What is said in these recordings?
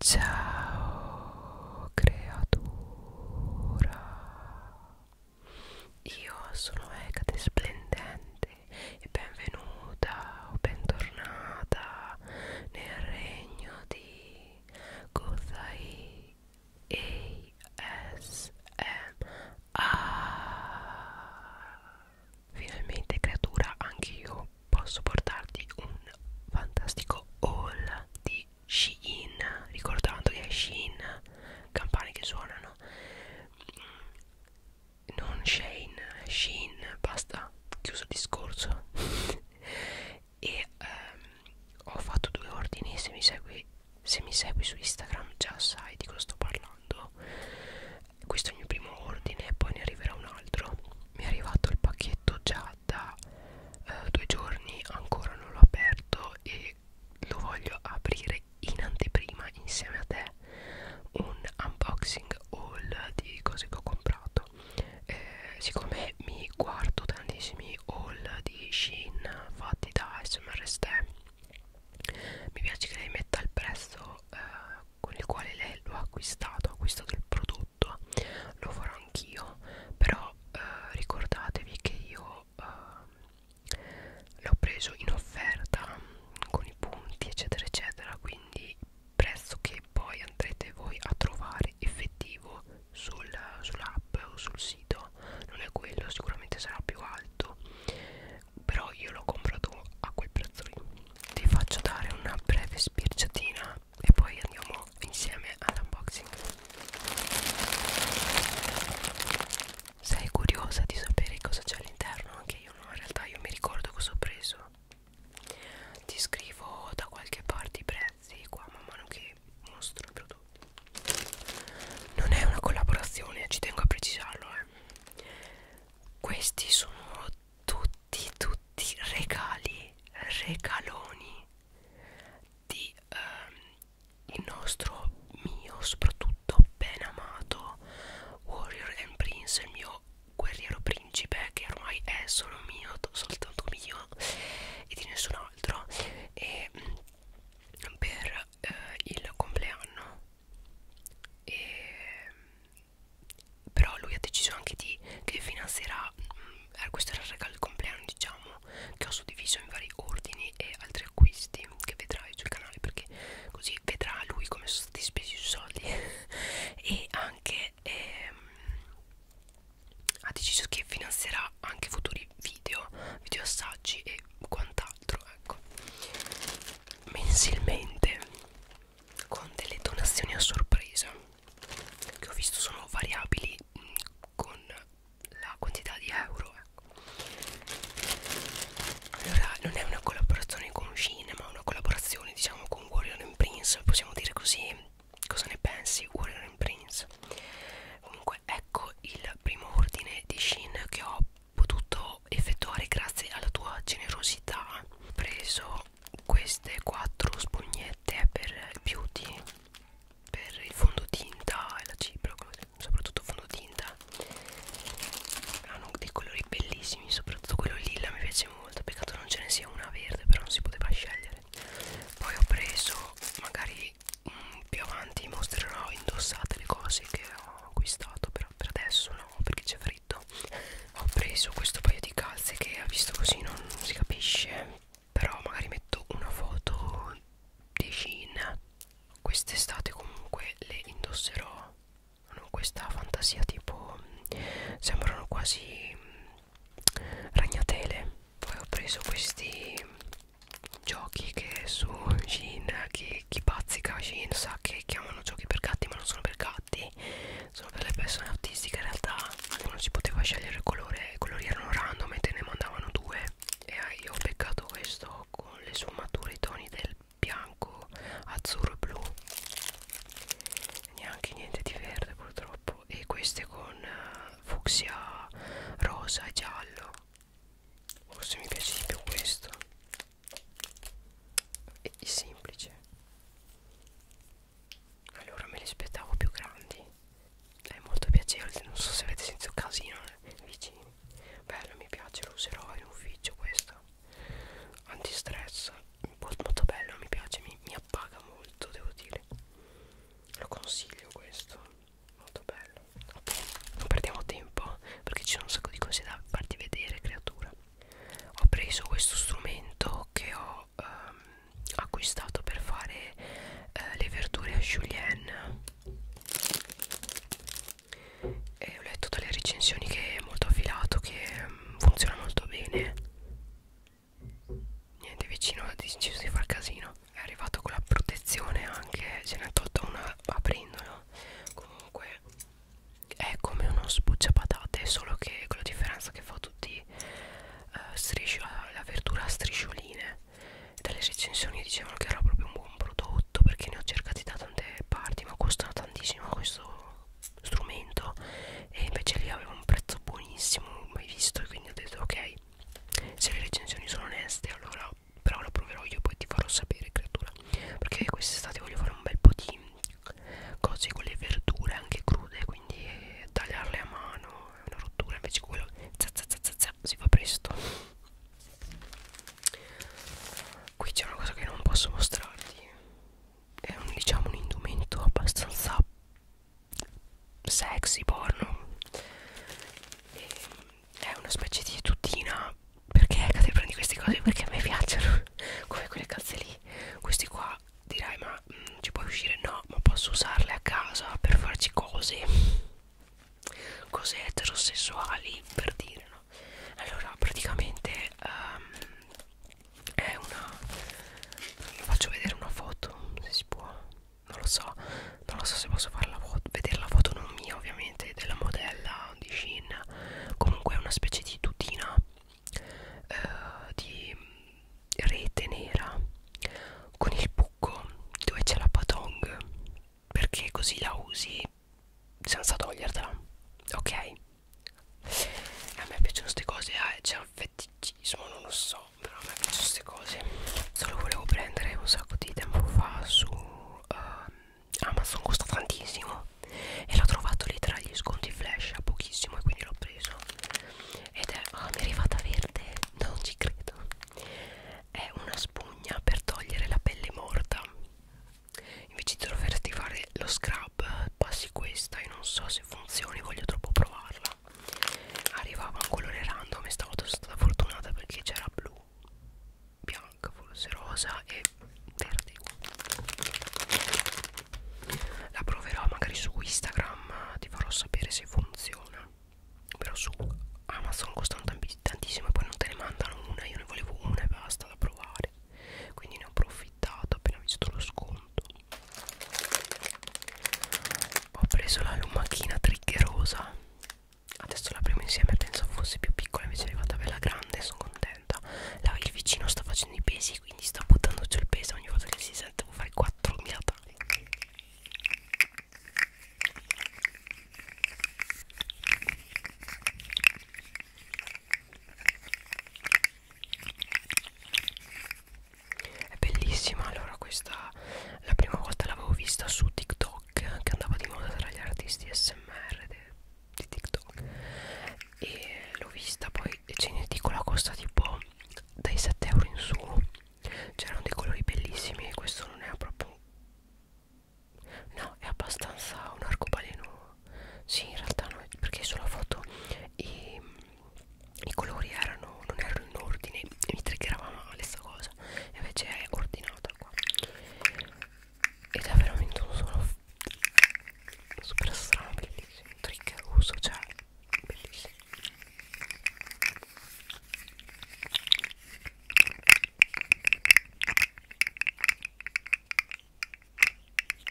Ciao creatura, io sono Ecate Splendente e benvenuta o bentornata nel regno di Gozai ASMR. Finalmente creatura, anche io posso portarti un fantastico haul di Shein ricordando che è Shein campane che suonano non Shein Shein basta chiuso il discorso e um, ho fatto due ordini se mi segui se mi segui su Instagram già sai di cosa sto parlando questo è il mio primo ordine poi ne arriverà un altro mi è arrivato il pacchetto già qua da eh, due giorni ancora non l'ho aperto e lo voglio aprire in anteprima insieme a te un unboxing haul di cose che ho comprato eh, siccome mi guardo tantissimi haul di Shein fatti da SMRST mi piace che lei metta il prezzo eh, con il quale lei lo ha acquistato, ha acquistato il prodotto, lo farò anch'io, però eh, ricordatevi che io eh, l'ho preso in offerta mm, con i punti eccetera eccetera, quindi prezzo che poi andrete voi a trovare effettivo sul, sull'app o sul sito non è quello, sicuramente sarà più alto però io l'ho comprato a quel prezzo lì vi faccio dare una breve spirciatina e poi andiamo insieme all'unboxing sei curiosa di sapere cosa c'è all'interno? anche io no, in realtà io mi ricordo cosa ho preso ti scrivo da qualche parte i prezzi qua man mano che mostro i prodotti non è una collaborazione, ci tengo a precisarlo eh. questi sono tutti tutti tutti regali regaloni di um, il nostro mio soprattutto ben amato warrior and prince il mio guerriero principe che ormai è solo mio soltanto mio e di nessun altro e mm, per eh, il compleanno e però lui ha deciso anche di che finanzierà mh, mm, eh, questo era il regalo di compleanno diciamo che ho suddiviso in vari ordini e altri acquisti che vedrai sul canale perché così vedrà lui come sono stati spesi i soldi e anche ehm, ha deciso che finanzierà anche futuri video video assaggi e quant'altro ecco mensilmente con delle donazioni a sorpresa che ho visto sono variabili mh, mm, con la quantità di euro ecco. allora non è una collaborazione con Shin ma una collaborazione diciamo con Warrior and Prince possiamo dire così cosa ne pensi Warrior and Prince comunque ecco il primo ordine di Shin che ho potuto effettuare grazie alla tua generosità ho preso queste quattro spugnette per beauty per il fondotinta e la cipro soprattutto fondotinta hanno dei colori bellissimi soprattutto quello lilla mi piace molto peccato non ce ne sia una verde però non si poteva scegliere poi ho preso magari mh, mm, più avanti mostrerò indossate le cose che ho acquistato però per adesso no perché c'è freddo ho preso questo paio di calze che ha visto così non si capisce però magari metto una foto di jean quest'estate comunque le indosserò hanno questa fantasia tipo sembrano quasi mm, ragnatele poi ho preso questi giochi che su jean chi, chi pazzica jean sa che chiamano giochi per gatti ma non sono per gatti solo per le persone autistiche in realtà non si poteva scegliere il colore i colori erano random e te ne mandavano due e io ho beccato questo con le sfumature i toni del bianco azzurro e blu neanche niente di verde purtroppo e queste con uh, fucsia rosa e giallo forse mi piace di più questo è semplice allora me li aspettavo più grandi è molto piacevole non so se avete sentito casino eh, vicini bello mi piace lo userò in ufficio questo antistress molto bello mi piace mi, mi appaga molto devo dire lo consiglio questo molto bello ok non perdiamo tempo perché ci sono un sacco di cose da farti vedere creatura ho preso questo strumento che ho ehm, acquistato per fare eh, le verdure a julienne e ho letto dalle recensioni che è molto affilato che ehm, funziona molto bene niente vicino ha deciso di far casino è arrivato con la protezione anche se ne ha tolta una aprendolo comunque è come uno sbucciapatate solo che con la differenza che fa tutti eh, striscio, la verdura a striscioline dalle recensioni dicevano che era proprio un buon prodotto perché ne ho cercati da tante parti ma costano tantissimo questo strumento e invece lì aveva un prezzo buonissimo mai visto e quindi ho detto ok se le recensioni sono oneste allora però lo proverò io poi ti farò sapere creatura perché quest'estate voglio fare un bel po' di cose con le verdure anche crude quindi eh, tagliarle a mano è una rottura invece quello za, za, za, za, za, si fa presto qui c'è una cosa che non posso mostrarti è un, diciamo un indumento abbastanza sexy porno e è una specie di tutina perché cade prendi queste cose perché a me piacciono come quelle calze lì questi qua dirai ma mh, mm, ci puoi uscire no ma posso usarle a casa per farci cose cose eterosessuali per dire no allora praticamente um, è una faccio vedere una foto se si può non lo so non lo so se posso fare la foto vedere la foto non mia ovviamente della modella di Shein comunque è una specie di tutina eh, di rete nera con il buco dove c'è la patong perché così la usi senza togliertela ok a me piacciono queste cose eh, c'è un feticismo non lo so però a me piacciono queste cose solo volevo prendere un sacco di tempo fa su uh, Amazon ah, costa tantissimo e l'ho trovato lì tra gli sconti flash a pochissimo e quindi l'ho preso ed è, oh, mi è arrivata verde, non ci credo è una spugna per togliere la pelle morta invece di doverti fare lo scrub passi questa e non so se funzioni voglio troppo provarla arrivava un colore random e stavolta sono stata fortunata perché c'era blu bianca forse rosa e verde la proverò magari su Instagram ti farò sapere se funziona però su Amazon costano tantissimo e poi non te ne mandano una io ne volevo una e basta da provare quindi ne ho approfittato appena visto lo sconto ho preso la lumachina triggerosa adesso la prima insieme penso fosse più piccola invece è arrivata bella grande sono contenta la, il vicino sta facendo i pesi quindi sta buttando giù il peso ogni volta che si sente devo fare 4.000 tagli è bellissima allora questa la prima volta l'avevo vista su TikTok che andava di moda tra gli artisti SMR di TikTok e l'ho vista poi ce ne dico la costa tipo dai 7 euro in su c'erano dei colori bellissimi questo non è proprio no è abbastanza un arcobaleno sì in realtà no perché sulla foto i, i colori erano non erano in ordine e mi triggerava male sta cosa invece è ordinata qua ed è veramente un suono super strano bellissimo un trick russo cioè bellissimo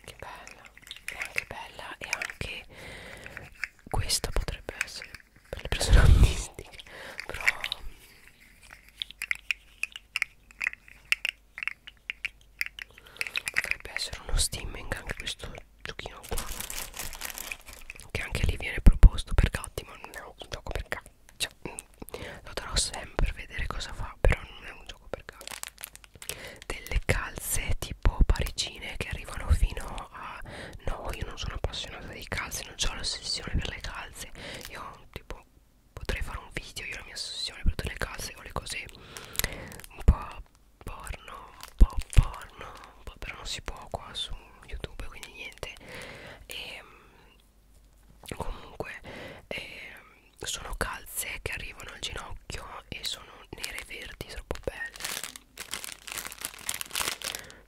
che bella è anche bella e anche questa potrebbe essere per le persone autistiche però potrebbe essere uno steaming anche questo giochino qua che anche lì viene proposto per gatti ma non è un gioco per gatti cioè, mm, lo darò sempre per vedere cosa fa però non è un gioco per gatti delle calze tipo parigine che arrivano fino a no io non sono appassionata di calze non ho l'ossessione per le calze io tipo potrei fare un video io la mia ossessione per tutte le case o le cose un po' porno un po' porno un po però non si può qua su youtube quindi niente e ehm, comunque eh, sono calze che arrivano al ginocchio e sono nere e verdi troppo belle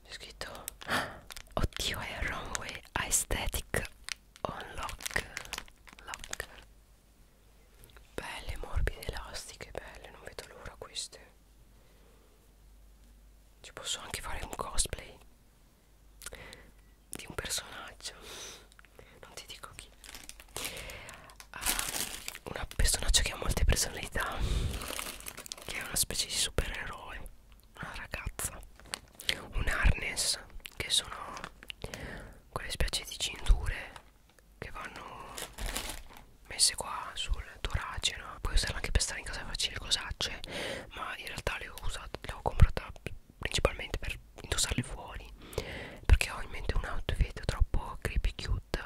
c'è scritto oddio è runway aesthetic on lock lock belle morbide elastiche belle non vedo l'ora queste ci posso anche fare un cosplay di un personaggio non ti dico chi uh, ah, un personaggio che ha molte personalità che è una specie di supereroe una ragazza un harness che sono quelle specie di cinture che vanno messe qua sul torace no? puoi usarla anche per stare in casa e farci le cosacce ma in realtà le ho usate le ho comprata principalmente per indossarle fuori perché ho in mente un outfit troppo creepy cute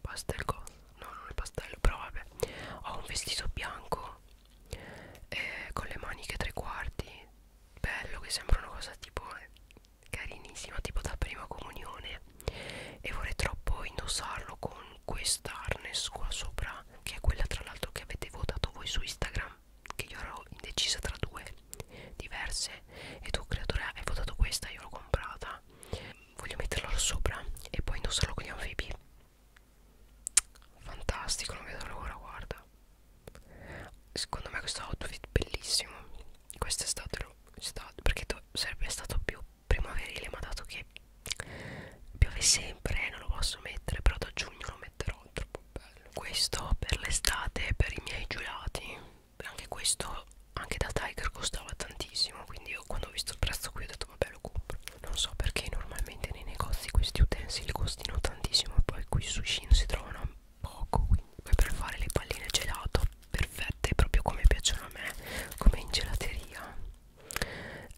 pastel no non è pastello però vabbè ho un vestito bianco eh, con le maniche tre quarti bello che sembra una cosa tipo eh, carinissima tipo da prima comunione e vorrei troppo indossarlo con questa harness qua sopra che è quella tra l'altro che avete votato voi su Instagram che io ero indecisa tra due diverse e tu creatore hai votato questa io l'ho comprata voglio metterlo sopra e poi indossarlo con gli anfibi fantastico non vedo l'ora guarda secondo me questo outfit bellissimo questo è stato, è stato perché sarebbe stato più primaverile ma dato che piove sempre eh, non lo posso mettere però da giugno lo metterò troppo bello questo per l'estate per i miei giurati anche questo anche da Tiger costava tantissimo quindi io quando ho visto il prezzo qui ho detto detto vabbè lo compro non so perché normalmente nei negozi questi utensili costino tantissimo e poi qui su Shin si trovano poco quindi poi per fare le palline gelato perfette proprio come piacciono a me come in gelateria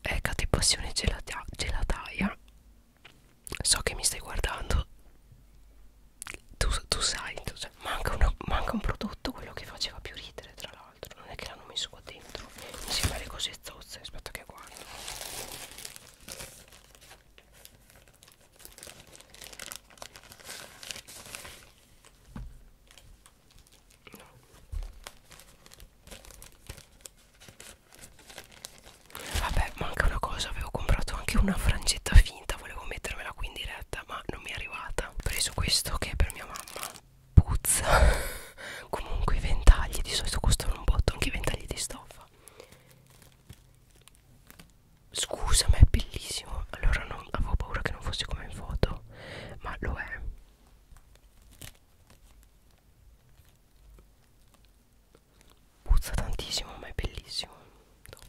è eh, Passione gelata gelataia so che mi stai guardando tu, tu sai tu, cioè, manca, una, manca un prodotto quello che faceva più ridere tra l'altro l'altro non è che l'hanno messo qua dentro mi sembra le cose zozze aspetta che guardo no. vabbè manca una cosa avevo comprato anche una frangetta finta volevo mettermela qui in diretta ma non mi è arrivata ho preso questo che è per mia mamma puzza comunque i ventagli di solito costano un botto anche i ventagli di stoffa scusa ma è bellissimo allora non, avevo paura che non fosse come in foto ma lo è puzza tantissimo ma è bellissimo Top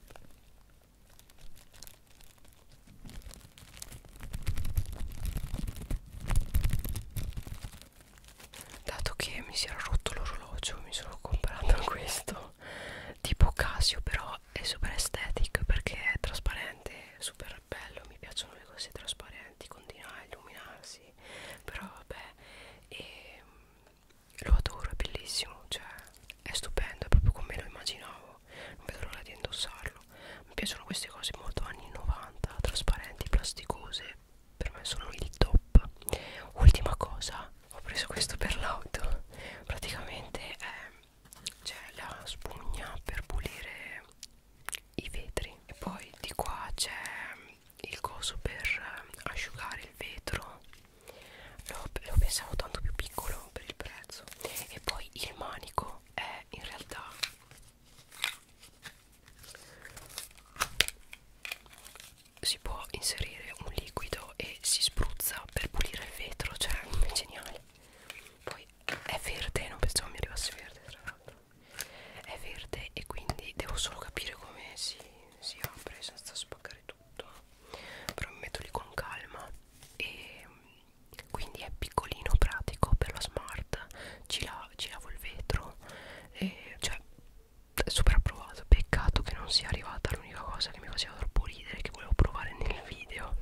dato che mi si era rotto l'orologio mi sono comprato questo tipo Casio però è super estetic perché è trasparente è super bello mi piacciono le cose trasparenti continua a illuminarsi però vabbè e ehm, lo adoro è bellissimo cioè è stupendo è proprio come lo immaginavo non vedo l'ora di indossarlo piacciono mi piacciono queste cose molto anni 90 trasparenti plasticose per me sono il top ultima cosa ho preso questo per l'auto praticamente eh, c'è la spugna per pulire i vetri e poi di qua c'è il coso per asciugare il vetro lo, lo pensavo tanto più piccolo per il prezzo e poi il manico è in realtà si può inserire un liquido e si spruzza per pulire il vetro cioè è geniale poi è verde non pensavo mi arrivasse verde tra l'altro è verde e quindi devo solo capire come si, si apre senza spaccare tutto però mi metto lì con calma e quindi è piccolino pratico per la smart ci, la, ci lavo il vetro e cioè è super approvato peccato che non sia arrivata l'unica cosa che mi faceva troppo ridere che volevo provare nel video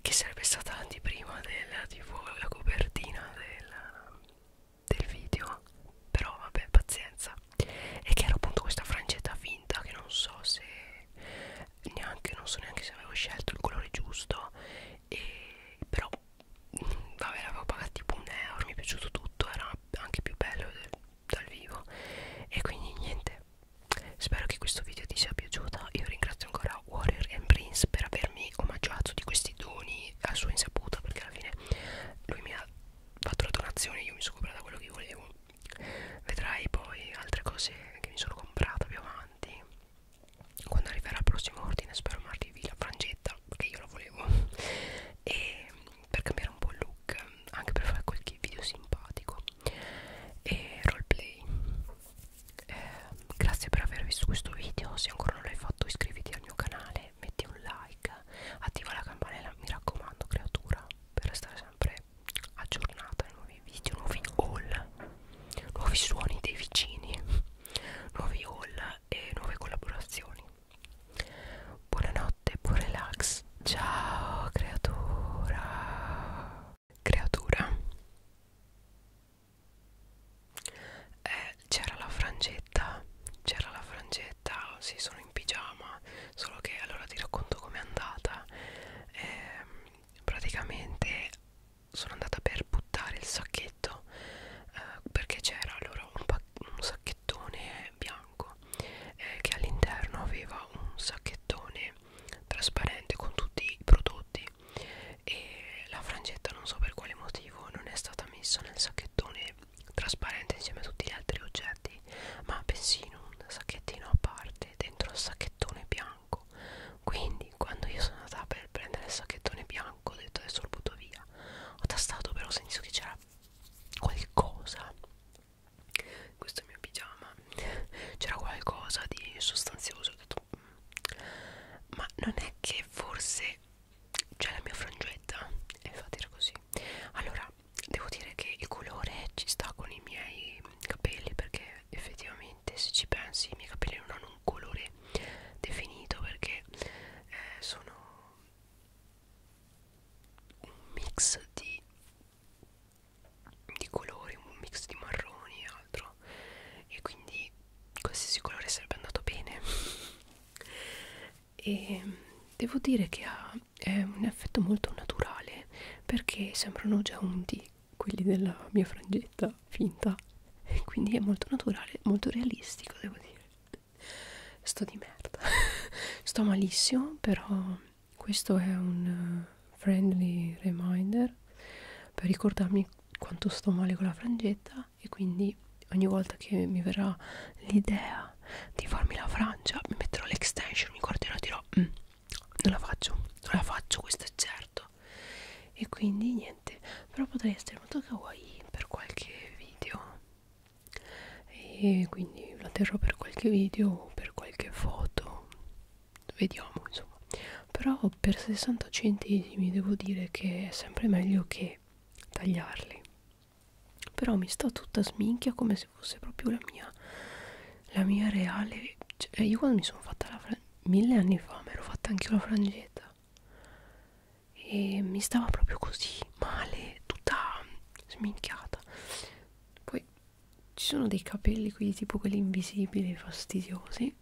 che sarebbe stata anteprima del tipo la copertina del, del video però vabbè pazienza e che era appunto questa frangetta finta che non so se neanche non so neanche se avevo scelto il colore giusto e però mm, vabbè l'avevo pagato tipo un euro mi è piaciuto tutto era anche più bello del, dal vivo e quindi niente spero che questo video ti sia piaciuto io ringrazio ancora Warrior and Prince per avermi omaggiato di questi doni a sua insaputa perché alla fine lui mi ha fatto la donazione io mi sono comprata quello che volevo vedrai poi altre cose che mi sono comprata più avanti quando arriverà il prossimo ordine spero mi arrivi la frangetta perché io la volevo e per cambiare un po' il look anche per fare qualche video simpatico e roleplay eh, grazie per aver visto questo video se ancora non l'hai fatto iscriviti al mio canale metti un like attiva la campanella mi raccomando creatura per restare sempre aggiornata nuovi video, nuovi haul, nuovi suoni dei vicini, nuovi haul e nuove collaborazioni. Buonanotte, buon relax. Ciao creatura. Creatura. Eh, c'era la frangetta, c'era la frangetta, sì sono in pigiama, solo che allora ti racconto com'è andata. Eh, praticamente sono andata per buttare il sacchetto eh, perché c'era allora un, un sacchettone bianco eh, che all'interno aveva un sacchettone trasparente con tutti i prodotti e la frangetta non so per quale motivo non è stata messa nel sacchettone trasparente insieme a tutti gli altri oggetti ma bensì in un sacchettino a parte dentro il sacchettone bianco bianco quindi quando io sono andata per prendere il sacchettone bianco ho detto adesso lo butto via ho tastato però ho sentito che c'era qualcosa questo è il mio pigiama c'era qualcosa di sostanzioso ho detto mm. ma non è che forse c'è la mia frangetta e infatti era così allora devo dire che il colore ci sta con i miei capelli perché effettivamente se ci pensi i miei capelli non hanno un colore definito perché eh, sono un mix di, di colori, un mix di marroni e altro e quindi qualsiasi colore sarebbe andato bene e devo dire che ha è un effetto molto naturale perché sembrano già unti quelli della mia frangetta finta e quindi è molto naturale, molto realistico devo dire sto di merda sto malissimo però questo è un eh, friendly reminder per ricordarmi quanto sto male con la frangetta e quindi ogni volta che mi verrà l'idea di farmi la frangia mi metterò l'extension mi guarderò e dirò mm, non la faccio non la faccio questo è certo e quindi niente però potrei essere molto kawaii per qualche video e quindi la terrò per qualche video o per qualche foto vediamo insomma però per 60 centesimi devo dire che è sempre meglio che tagliarli però mi sto tutta sminchia come se fosse proprio la mia la mia reale cioè, io quando mi sono fatta la frangetta mille anni fa mi ero fatta anche io la frangetta e mi stava proprio così male tutta sminchiata poi ci sono dei capelli qui tipo quelli invisibili fastidiosi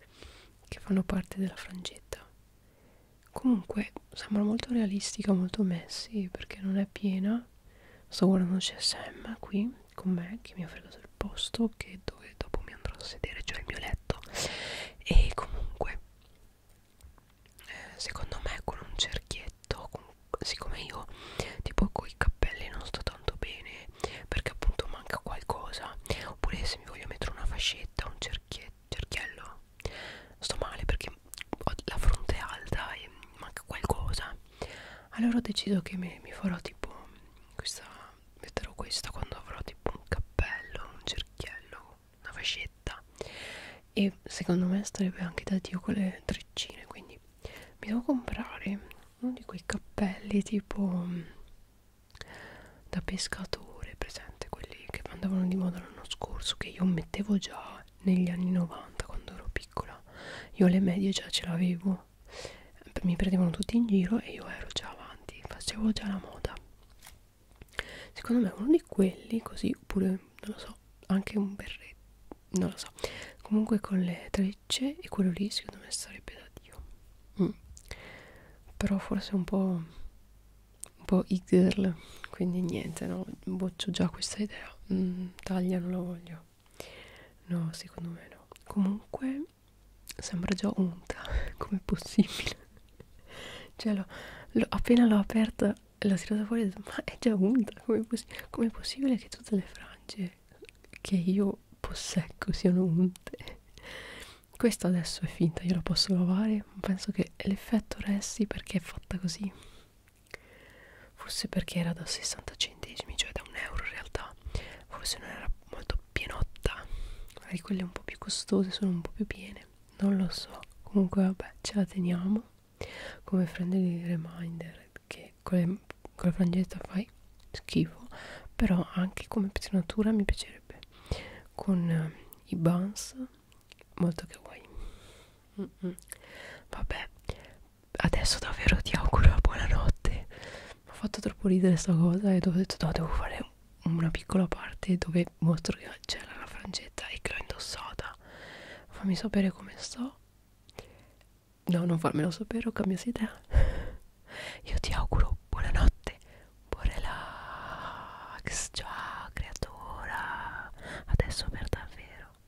che fanno parte della frangetta comunque sembra molto realistica molto messy perché non è piena sto guardando CSM qui con me che mi ha fregato il posto che dove dopo mi andrò a sedere cioè il mio letto e comunque eh, secondo me con un cerchietto con, siccome io tipo con i cappelli non sto tanto bene perché appunto manca qualcosa oppure se mi voglio mettere una fascetta un cerchiello sto male perché ho la fronte alta e manca qualcosa allora ho deciso che mi, mi farò tipo questa metterò questa quando avrò tipo un cappello un cerchiello una fascetta e secondo me starebbe anche da dio con le treccine quindi mi devo comprare uno di quei cappelli tipo mm, da pescatore presente quelli che andavano di moda l'anno scorso che io mettevo già negli anni 90 quando ero piccola io alle medie già ce l'avevo no mi prendevano tutti in giro e io ero già avanti facevo già la moda secondo me uno di quelli così oppure non lo so anche un berretto non lo so comunque con le trecce e quello lì secondo me sarebbe da dio mm. però forse un po' un po' i girl quindi niente no boccio già questa idea mm, taglia non la voglio No, secondo me no. Comunque sembra già unta, com'è possibile? Cioè, lo, lo, appena l'ho aperta l'ho tirata fuori e ho detto, ma è già unta, com'è possi com possibile che tutte le frange che io posseggo siano unte? Questa adesso è finta, io la posso lavare, ma penso che l'effetto resti perché è fatta così forse perché era da 60 centesimi cioè da un euro in realtà forse non era molto pienotta magari quelle un po' più costose sono un po' più piene non lo so comunque vabbè ce la teniamo come friendly reminder che con, le, con la frangetta fai schifo però anche come pettinatura mi piacerebbe con eh, i buns molto che vuoi mm -mm. vabbè adesso davvero ti auguro buonanotte mi ha fatto troppo ridere sta cosa e ho detto no devo fare una piccola parte dove mostro che c'è la frangetta e che l'ho indossata fammi sapere come sto no non farmelo sapere ho cambiato idea io ti auguro buonanotte buon relax ciao creatura adesso per davvero